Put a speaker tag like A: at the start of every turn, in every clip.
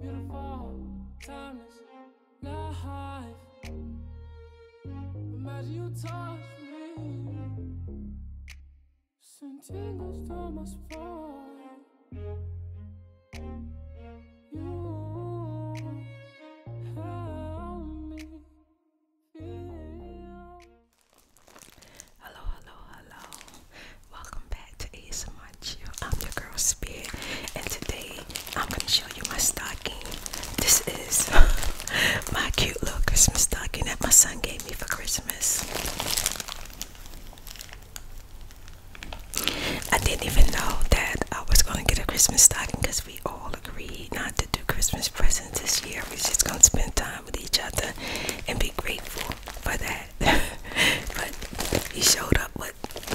A: Beautiful, timeless life. Imagine you touch You help me feel. Hello, hello, hello. Welcome back to ASMR. I'm your girl Spirit, and today I'm gonna show you my stocking. This is my cute little Christmas stocking that my son gave me for Christmas. I didn't even know that I was gonna get a Christmas stocking because we all agreed not to do Christmas presents this year. We're just gonna spend time with each other and be grateful for that. but he showed up with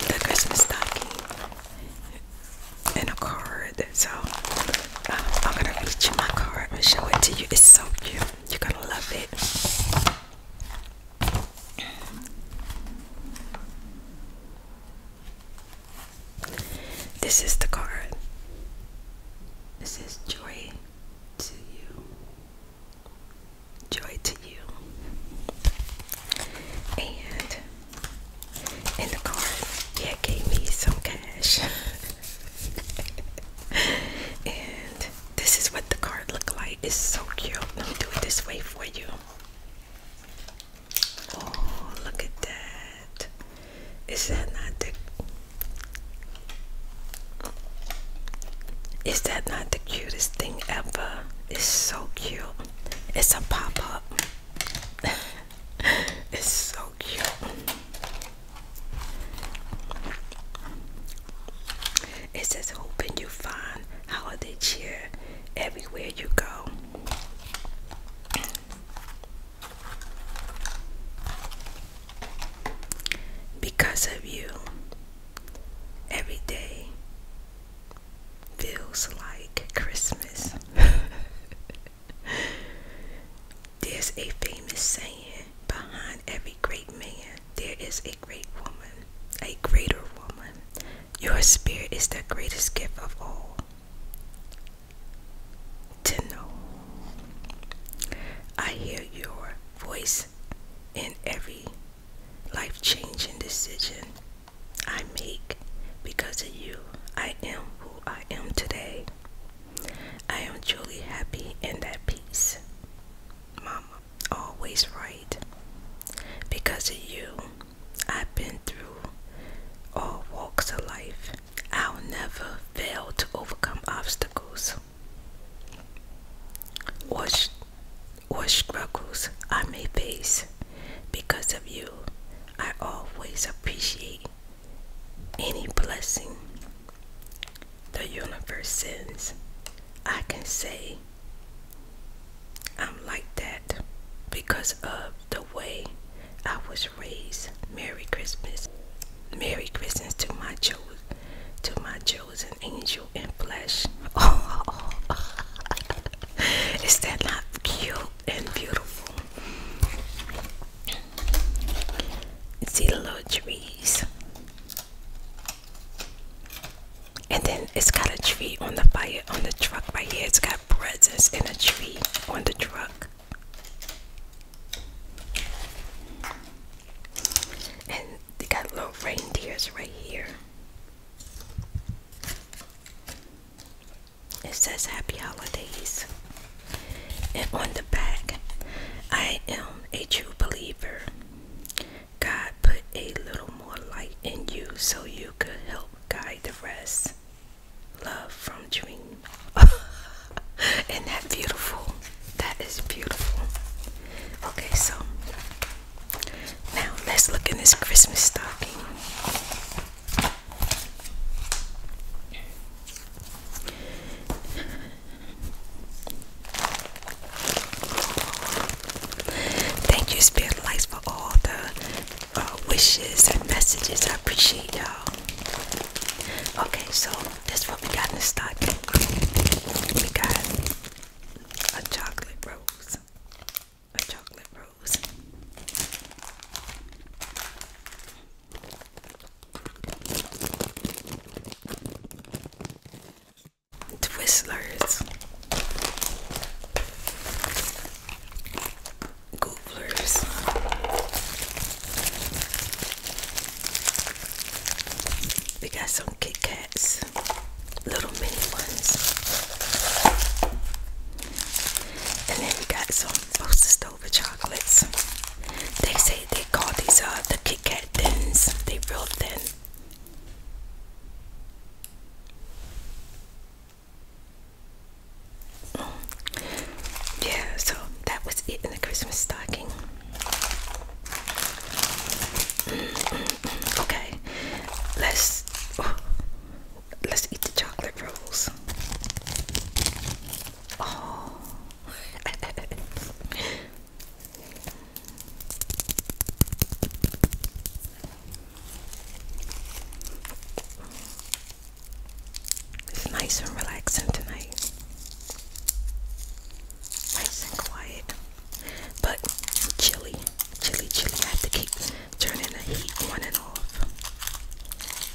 A: the Christmas stocking and a card. So uh, I'm gonna read you my card I'm gonna show it to you. It's so cute. You're gonna love it. This is the card. This is joy to you. Joy to you. And in the card, yeah, gave me some cash. and this is what the card looked like. It's so cute. Let me do it this way for you. Oh, look at that. Is that not the is that not the cutest thing ever? It's so cute. It's a pop-up. it's so cute. It says hoping you find holiday cheer everywhere you go. Because of you, every day feels like Christmas. There's a famous saying behind every great man, there is a great woman, a greater woman. Your spirit is the greatest gift of all. To know, I hear your voice in every life changing decision I make because of you. I am who I am today. I am truly happy and at peace. Mama, always right. Because of you, I've been through all walks of life. I'll never fail to overcome obstacles or, or struggles I may face. Because of you, I always appreciate any blessing the universe sends. I can say I'm like that because of the way I was raised. Merry Christmas. Merry Christmas to my children to my chosen angel in flesh. Oh. Is that not cute and beautiful? See the little trees. And then it's got a tree on the fire on the truck right here. It's got presents in a tree on the truck. And they got little reindeers right here. It says Happy Holidays. And on the back, I am a true believer. God put a little more light in you so you could help guide the rest. Love from Dream. Isn't that beautiful? That is beautiful. Okay, so now let's look in this Christmas stocking. Thank you, Spirit Lights, for all the uh, wishes and messages. I appreciate y'all. Okay, so that's what we in the stocking. We got a chocolate rose a chocolate rose. Twistlers, Googlers, we got some Kit Kats little mini ones. And then we got some roasted over chocolates. They say they call these uh the Kit Kat thins. They real thin. Yeah, so that was it in the Christmas stocking. Mm, mm, mm. Okay, let's let's eat the chocolate rolls. Oh. It's nice and relaxing tonight. Nice and quiet. But chilly. Chilly, chilly. I have to keep turning the heat on and off.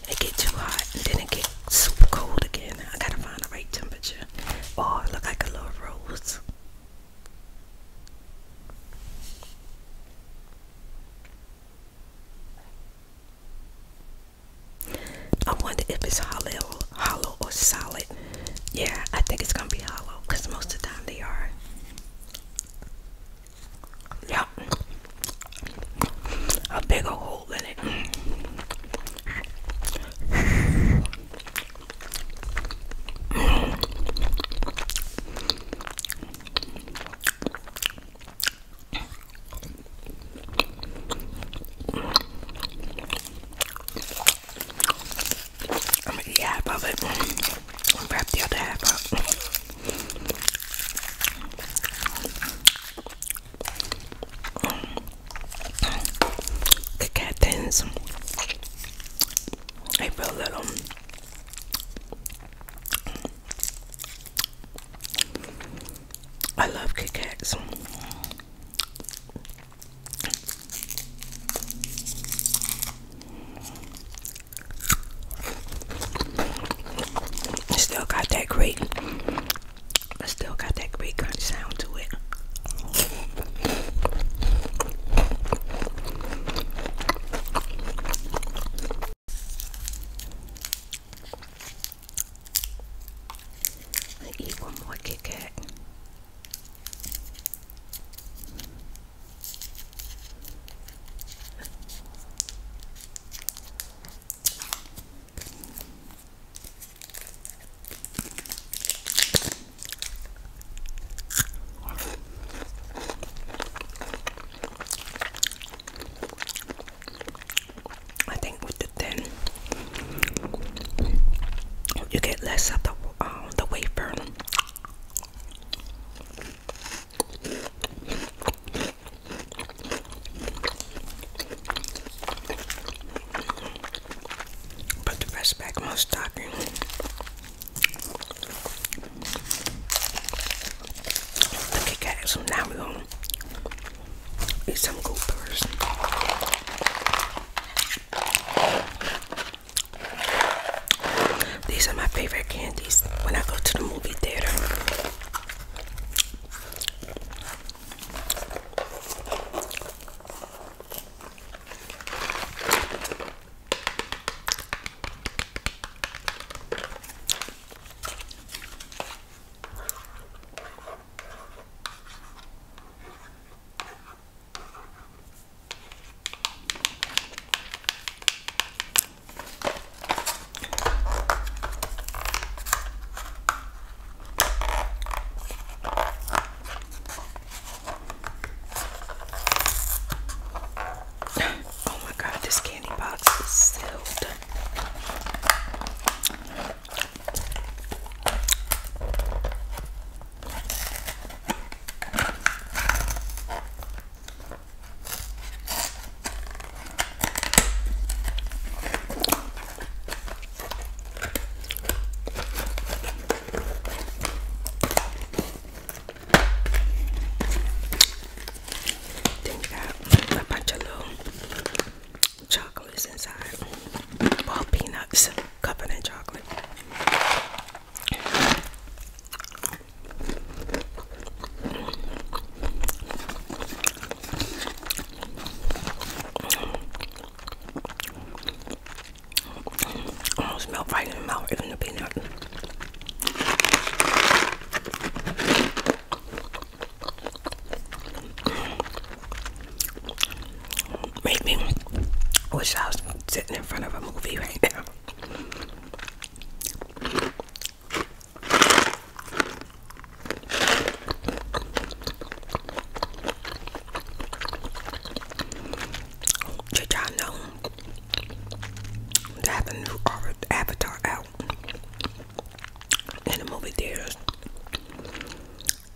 A: It get too hot and then it get super cold again. I gotta find the right temperature. Oh, look like a little rose. I wonder if it's hollow, hollow or solid. Yeah, I think it's gonna be hollow most of time they are. Yeah. A bigger hole in it. I'm gonna eat half of it wrap the other half up. The cat thins. a little. I love Kit Kats. Still got that great. I still got that great kind sound to it. eat one more Kit Kat. I think with the thin, you get less of the uh, the wafer. Put the rest back in my stocking. The Kit so now we're gonna eat some goopers. These are my favorite candies when I go to the movie theater. Oh, my God, this candy box is sealed. Then you a bunch of little chocolates inside. Well, peanuts covered in chocolate. I melt right in the mouth, even the peanut. Make wish I was sitting in front of a movie right now. Did y'all know they have a new Avatar out in the movie theaters?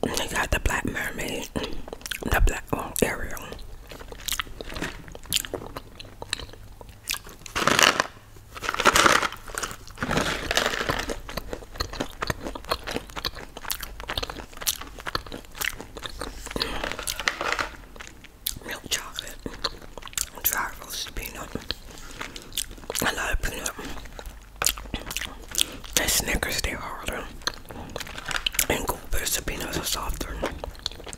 A: They got the Black Mermaid, the Black oh, Ariel. Milk chocolate, dry roasted peanut, I love peanut, and Snickers, they're harder, and Goldberries, the peanuts are softer,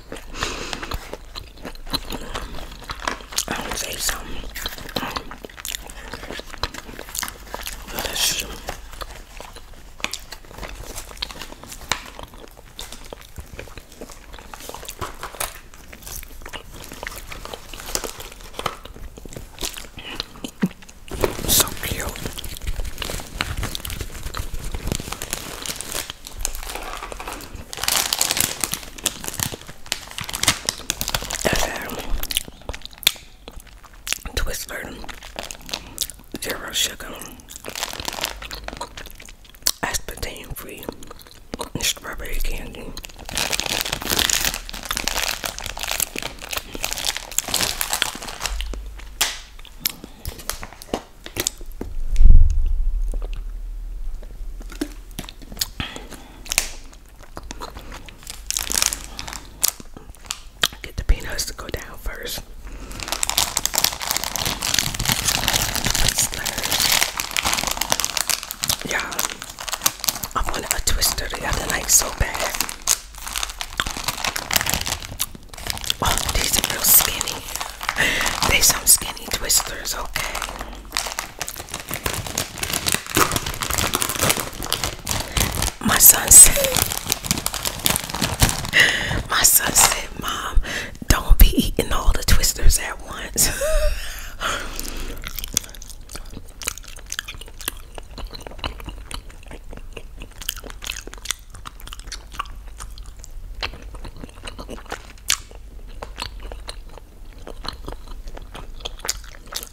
A: I don't say something delicious. So cute. Twister, zero sugar, aspartame free, strawberry candy. Get the peanuts to go down first. Yeah. I wanted a twister the other night so bad. Oh, these are real skinny. They some skinny twisters, okay. My son said My son said, Mom, don't be eating all the twisters at once.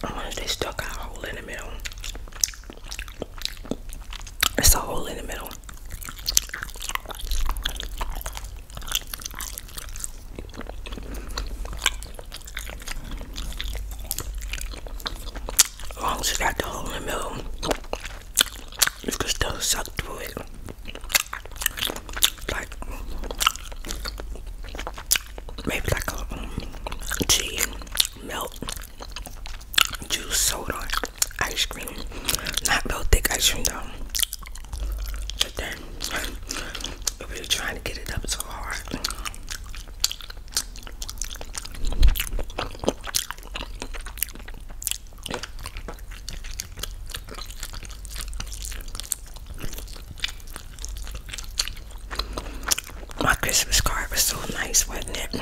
A: Oh, they stuck a hole in the middle. It's a hole in the middle. As got the hole in the middle, you can still suck through it. Like maybe like a um, tea, milk, juice, soda, ice cream. Not real thick ice cream though. But then if you're trying to get it up so hard. My Christmas card was so nice, wasn't it?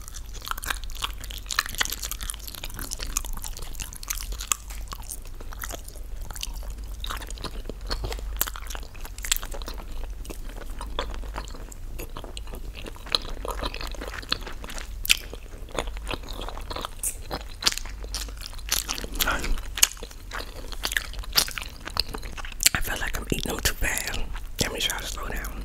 A: I feel like I'm eating them too bad. Let me try to slow down.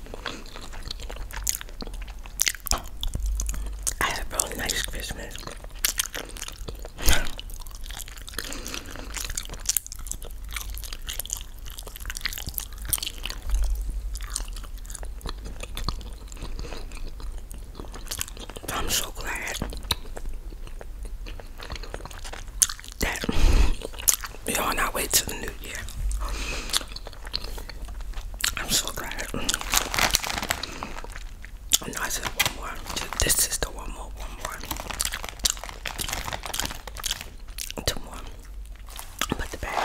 A: I had a really nice Christmas. I'm so glad that we're on our way to the new year. I'm so glad. I said one more. This is the one more, one more. Two more. Put the bag.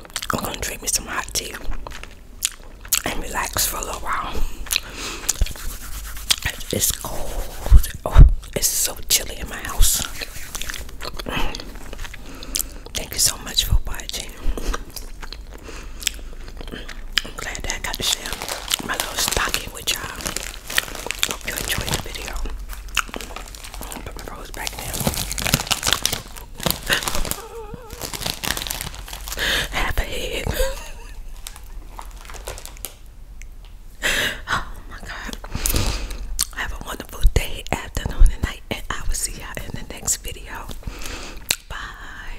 A: I'm gonna drink me some hot tea and relax for a little while. It's cold. Oh, it's so chilly in my house. Thank you so much for watching. I'm glad that I got to share my little stocking with y'all. Hope you enjoyed the video. Put my rose back Half a head. oh my god. Have a wonderful day, afternoon, and night, and I will see y'all in the next video. Bye.